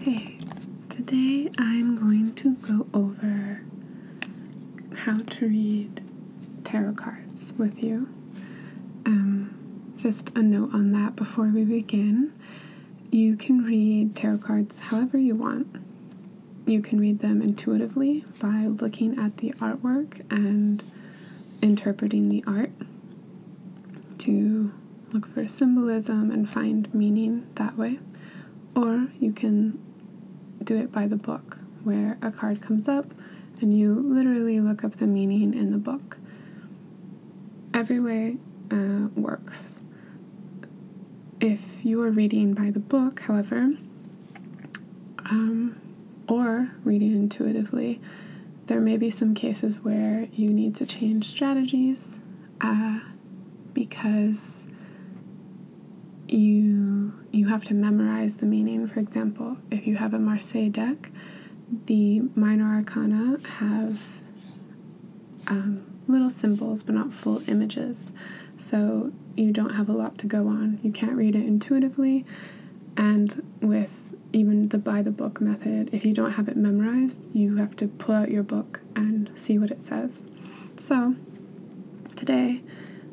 Hey, today I'm going to go over how to read tarot cards with you. Um, just a note on that before we begin. You can read tarot cards however you want. You can read them intuitively by looking at the artwork and interpreting the art to look for symbolism and find meaning that way. Or you can do it by the book, where a card comes up and you literally look up the meaning in the book. Every way uh, works. If you are reading by the book, however, um, or reading intuitively, there may be some cases where you need to change strategies uh, because you you have to memorize the meaning. For example, if you have a Marseille deck, the minor arcana have um, little symbols but not full images, so you don't have a lot to go on. You can't read it intuitively, and with even the by the book method, if you don't have it memorized, you have to pull out your book and see what it says. So, today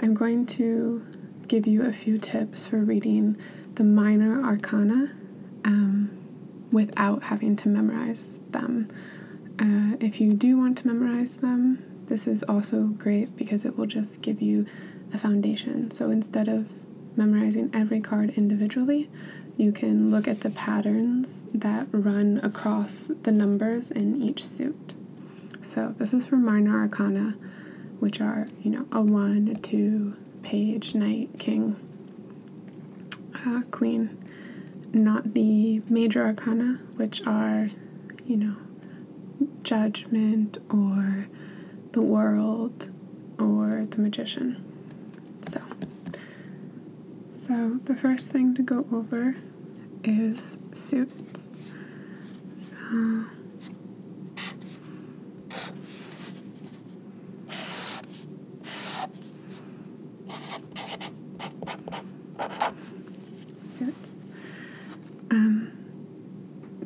I'm going to give you a few tips for reading the minor arcana um, without having to memorize them. Uh, if you do want to memorize them, this is also great because it will just give you a foundation. So, instead of memorizing every card individually. You can look at the patterns that run across the numbers in each suit. So this is for minor arcana, which are, you know, a one, a two, page, knight, king, uh, queen. Not the major arcana, which are, you know, judgment, or The World or The Magician. So, so the first thing to go over is suits. So, suits. Um,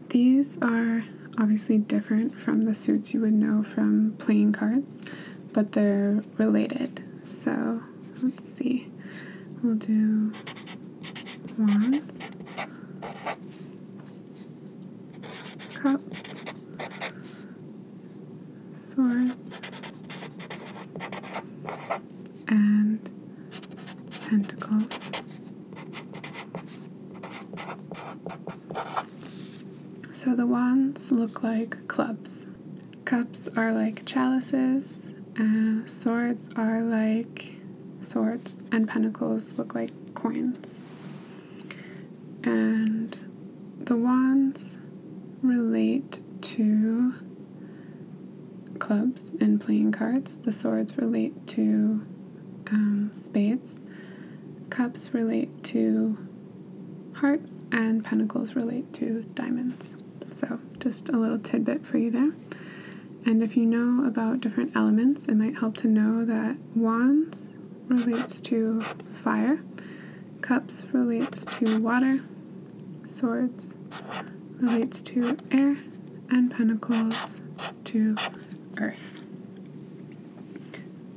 these are obviously different from the suits you would know from playing cards, but they're related. So let's see. We'll do wands, cups, swords, and pentacles. So the wands look like clubs. Cups are like chalices, uh, swords are like swords, and pentacles look like coins. And the wands relate to clubs and playing cards, the swords relate to um, spades. Cups relate to hearts, and pentacles relate to diamonds. So, just a little tidbit for you there. And if you know about different elements, it might help to know that wands relates to fire, cups relates to water, swords relates to air, and Pentacles to Earth.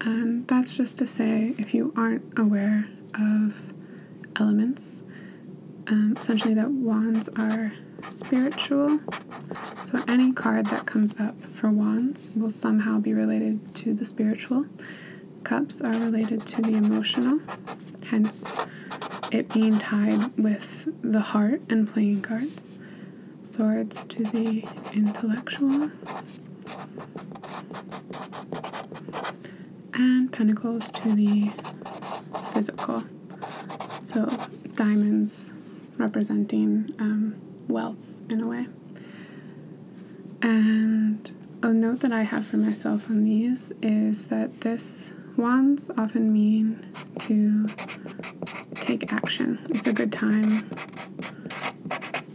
And that's just to say, if you aren't aware of elements, um, essentially that wands are spiritual. So any card that comes up for wands will somehow be related to the spiritual. Cups are related to the emotional, hence it being tied with the heart and playing cards, swords to the intellectual, and pentacles to the physical. So, diamonds representing um, wealth in a way. And a note that I have for myself on these is that this wands often mean to take action. It's a good time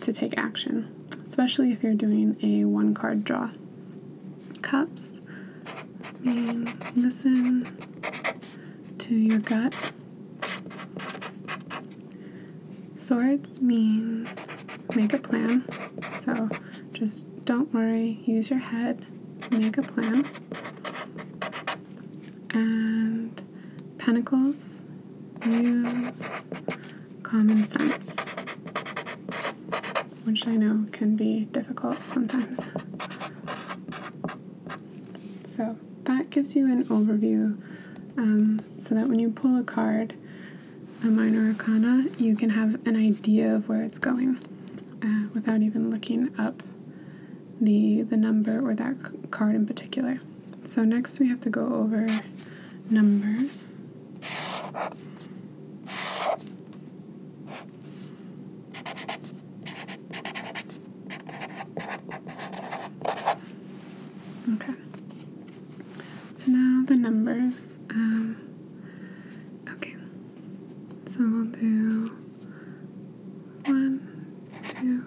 to take action, especially if you're doing a one card draw. Cups mean listen to your gut. Swords mean make a plan. So just don't worry, use your head, make a plan. And pentacles, use common sense, which I know can be difficult sometimes. So that gives you an overview um, so that when you pull a card, a minor arcana, you can have an idea of where it's going. Uh, without even looking up the the number or that card in particular. So next we have to go over numbers. Okay. So now the numbers. Um, okay. So we'll do one, two,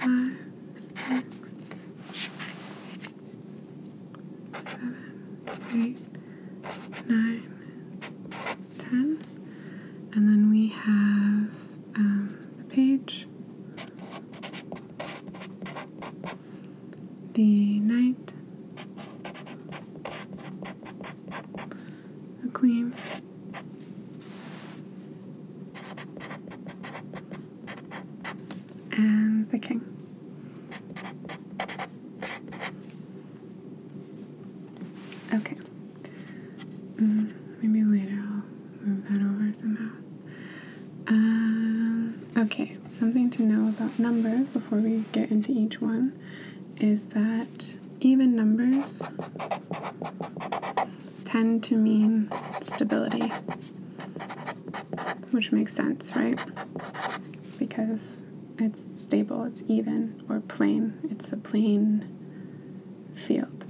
four, five, six, seven, eight, nine, ten. And then we have um, the page the knight, the queen, and the king. Okay. Mm, maybe later I'll move that over somehow. Uh, okay, something to know about numbers before we get into each one is that even numbers tend to mean stability, which makes sense, right? Because it's stable, it's even, or plain, it's a plain field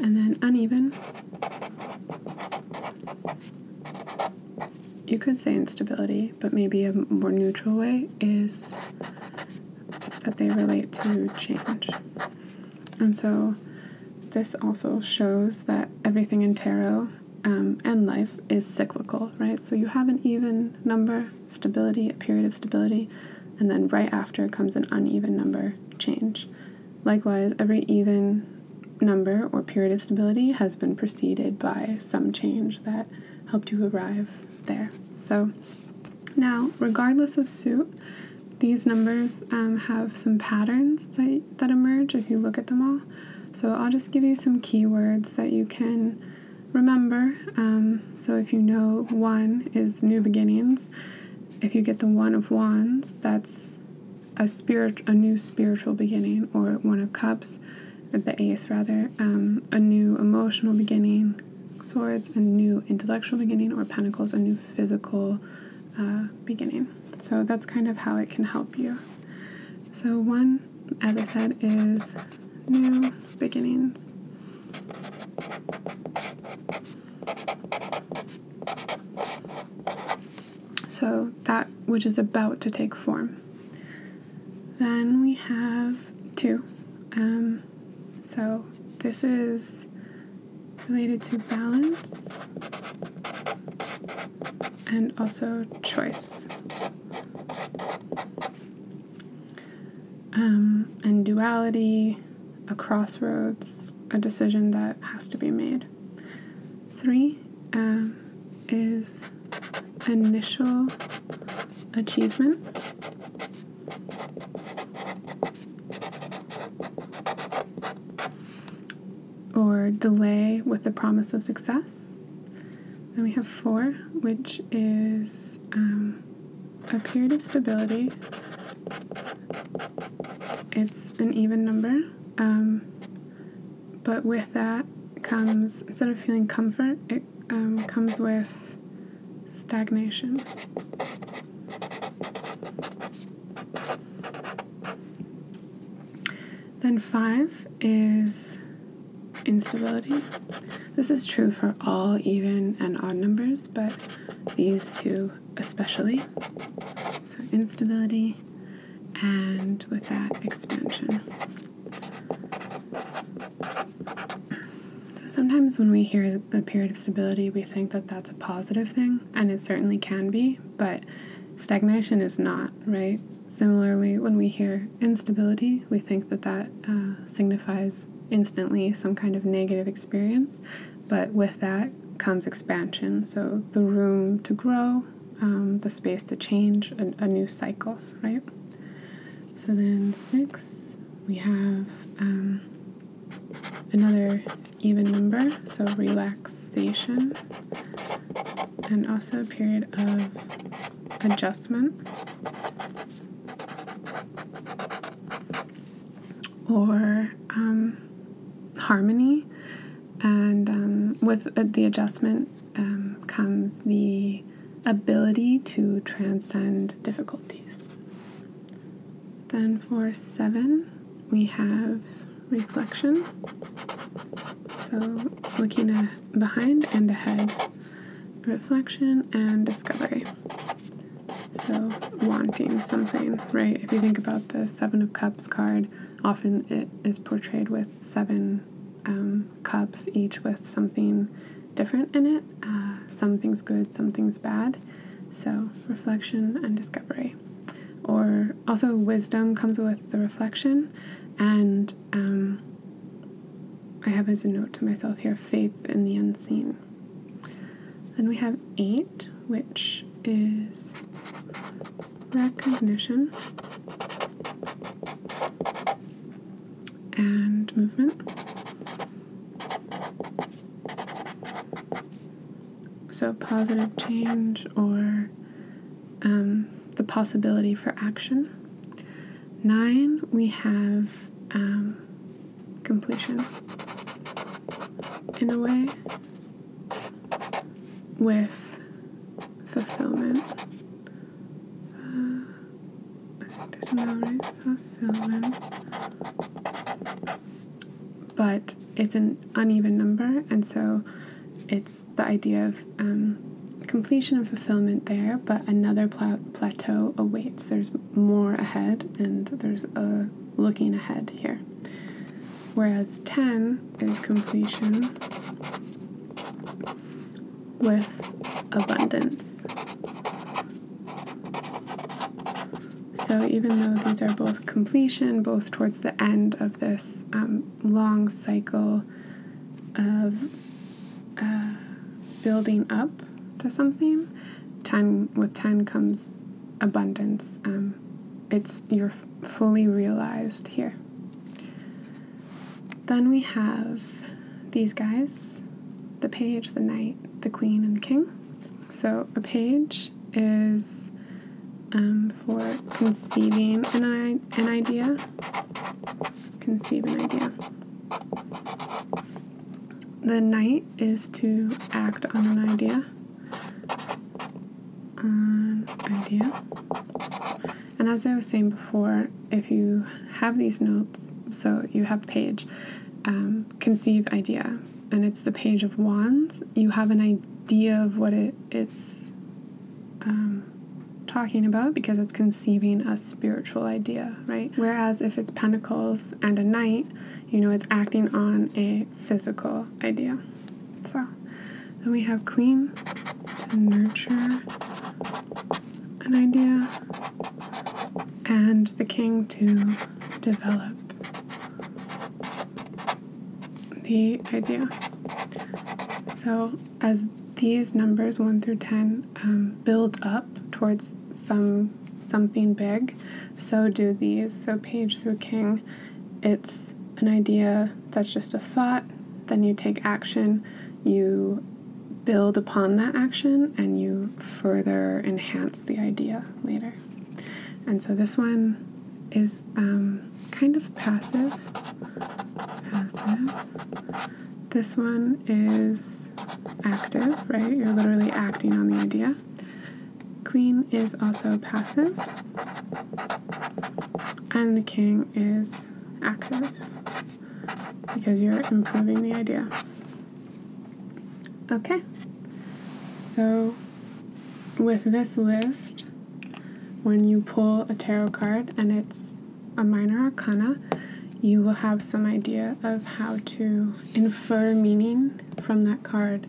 and then uneven. You could say instability, but maybe a more neutral way is that they relate to change. And so this also shows that everything in tarot um, and life is cyclical, right? So you have an even number, stability, a period of stability, and then right after comes an uneven number, change. Likewise, every even number or period of stability has been preceded by some change that helped you arrive there. So now, regardless of suit, these numbers um, have some patterns that, that emerge if you look at them all. So I'll just give you some keywords that you can remember. Um, so if you know one is new beginnings, if you get the one of wands, that's a spirit, a new spiritual beginning, or one of cups, the ace rather, um, a new emotional beginning, swords, a new intellectual beginning, or pentacles, a new physical uh, beginning. So that's kind of how it can help you. So one, as I said, is new beginnings. So that which is about to take form. Then we have two. Um, so this is related to balance and also choice. Um, and duality a crossroads, a decision that has to be made. Three um, is initial achievement. Or delay with the promise of success. Then we have four, which is um, a period of stability, it's an even number. Um, but with that comes, instead of feeling comfort, it um, comes with stagnation. Then five is instability. This is true for all even and odd numbers, but these two especially. So instability and with that expansion. So sometimes when we hear a period of stability, we think that that's a positive thing, and it certainly can be, but stagnation is not, right? Similarly, when we hear instability, we think that that uh, signifies instantly some kind of negative experience, but with that comes expansion. So the room to grow, um, the space to change, a, new cycle, right? So then six, we have um, another even number, so relaxation, and also a period of adjustment or um, harmony. And um, with uh, the adjustment um, comes the ability to transcend difficulties. Then for seven, we have reflection. So looking behind and ahead, reflection and discovery. So, wanting something, right? If you think about the Seven of Cups card, often it is portrayed with seven um, cups, each with something different in it. Uh, something's good, something's bad. So, reflection and discovery. Or also, wisdom comes with the reflection, and um, I have as a note to myself here faith in the unseen. Then we have eight, which is recognition and movement. So, positive change or um, the possibility for action. Nine, we have um, completion in a way with fulfillment. I think there's another right fulfillment, but it's an uneven number, and so it's the idea of um, completion and fulfillment there, but another plateau awaits. There's more ahead, and there's a looking ahead here. Whereas 10 is completion with abundance. So, even though these are both completion, both towards the end of this um, long cycle of uh, building up to something, ten with ten comes abundance. Um, it's you're fully realized here. Then we have these guys, the page, the knight, the queen, and the king. So a page is um, for conceiving an idea conceive an idea. The knight is to act on an idea. On idea. And as I was saying before, if you have these notes, so you have page, um, conceive idea, and it's the page of wands, you have an idea of what it, it's um, talking about because it's conceiving a spiritual idea, right? Whereas if it's pentacles and a knight, you know, it's acting on a physical idea. So then we have queen to nurture an idea and the king to develop the idea. So as these numbers 1 through 10 um, build up towards some something big, so do these. So page through king, it's an idea that's just a thought, then you take action, you build upon that action, and you further enhance the idea later. And so this one is um, kind of passive, passive, this one is active, right? You're literally acting on the idea. Queen is also passive. And the king is active because you're improving the idea. Okay, so with this list, when you pull a tarot card and it's a minor arcana, you will have some idea of how to infer meaning from that card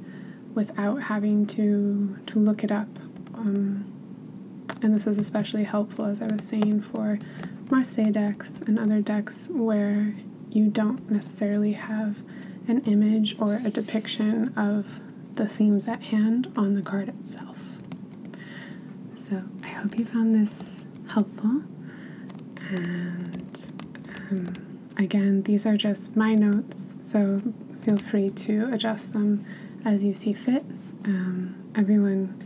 without having to, to look it up. Um, and this is especially helpful, as I was saying, for Marseille decks and other decks where you don't necessarily have an image or a depiction of the themes at hand on the card itself. So I hope you found this helpful. And um, again, these are just my notes, so feel free to adjust them as you see fit. Um, everyone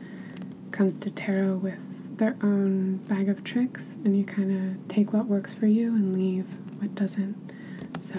comes to tarot with their own bag of tricks, and you kind of take what works for you and leave what doesn't. So,